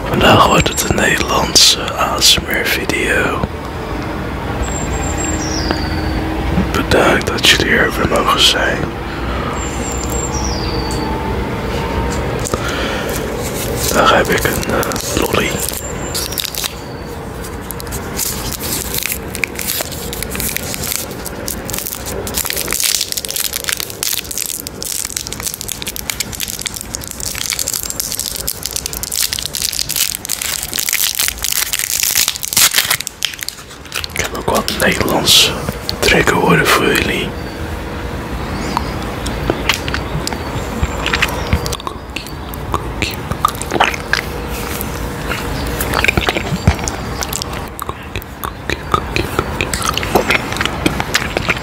Vandaag wordt het een Nederlandse ASMR video. Bedankt dat jullie er weer mogen zijn. heb ik een eh, lolly. Ik heb ook wat Nederlands trekken horen voor jullie.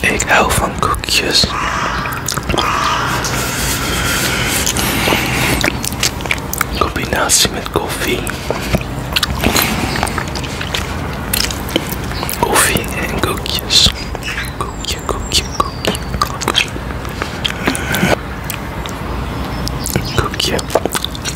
Ik hou van koekjes. Kombinatie met koffie. Koffie en koekjes. Koekje, koekje, koekje, koekje. Koekje.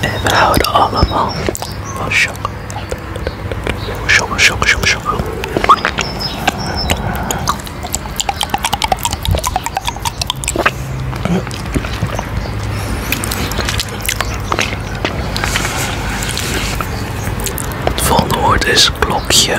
En we houden allemaal van Het volgende woord is klokje.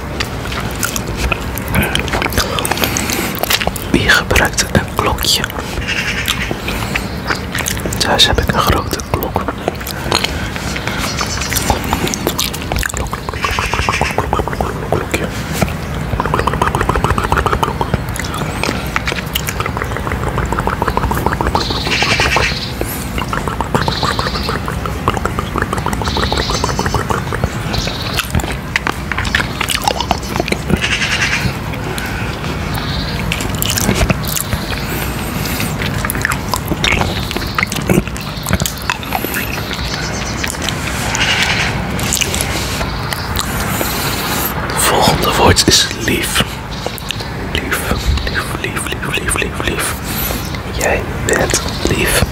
Wie gebruikt een klokje? Thuis heb ik een grote klok. Volgende woord is lief. Lief, lief, lief, lief, lief, lief, lief. Jij bent lief.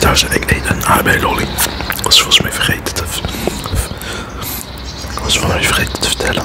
Daar zijn ik eet een AB lolly was volgens mij vergeten te... Ik was volgens mij vergeten te vertellen.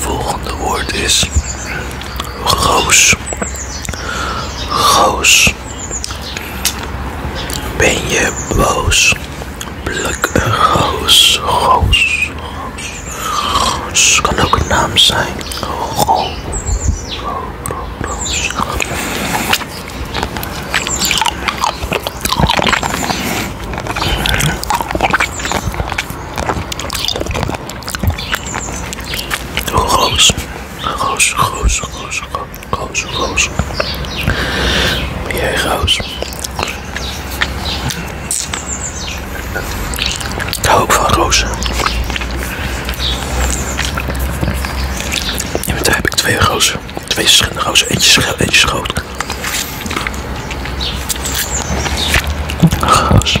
Volgende woord is goos. Goos. Ben je boos? Blik een Roos Goos. Kan ook een naam zijn. Roos, roos, roos, roos, roos, roos. Ben jij roos? ook van rozen. En met heb ik twee roos, Twee verschillende rozen. Eentje eentje groot. Roos.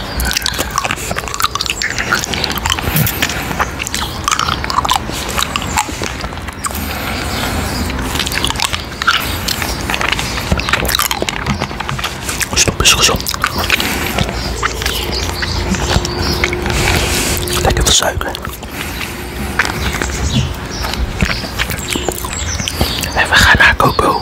Stop is gewoon. Lekker veel En we gaan naar Coco.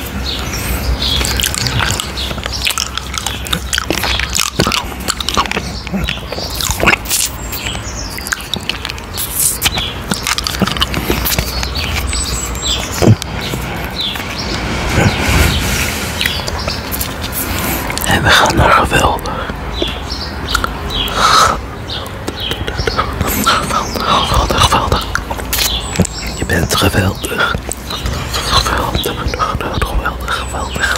En we gaan naar geweldig. Je bent geweldig. Geweldig, geweldig, geweldig,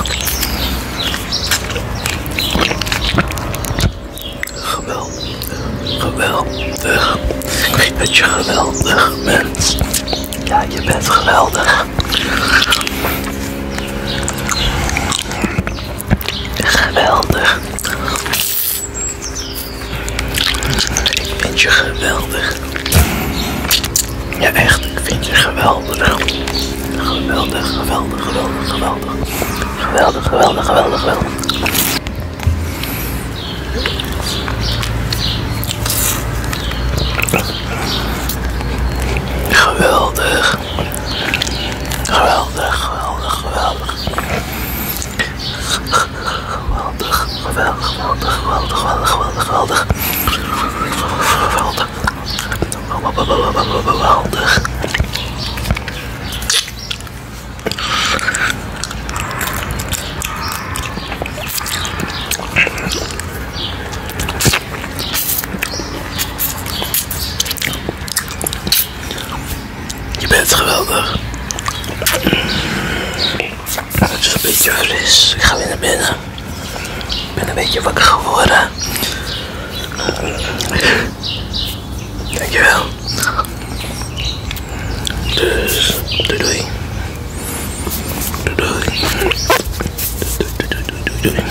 geweldig. Geweldig, geweldig. Ik weet dat je geweldig bent. Ja, je bent geweldig. Geweldig. Ik vind je geweldig. Ja, echt, ik vind je geweldig. Geweldig, geweldig, geweldig, geweldig. Geweldig, geweldig, geweldig, geweldig. Geweldig. Geweldig, geweldig, geweldig. Geweldig, geweldig, geweldig, geweldig, geweldig, geweldig, geweldig. Je bent geweldig. Het is een beetje fris. Ik ga weer naar binnen. Ik ben een beetje wakker geworden. Dankjewel. Dus, doei doei. doei. Doei doei doei doei doei.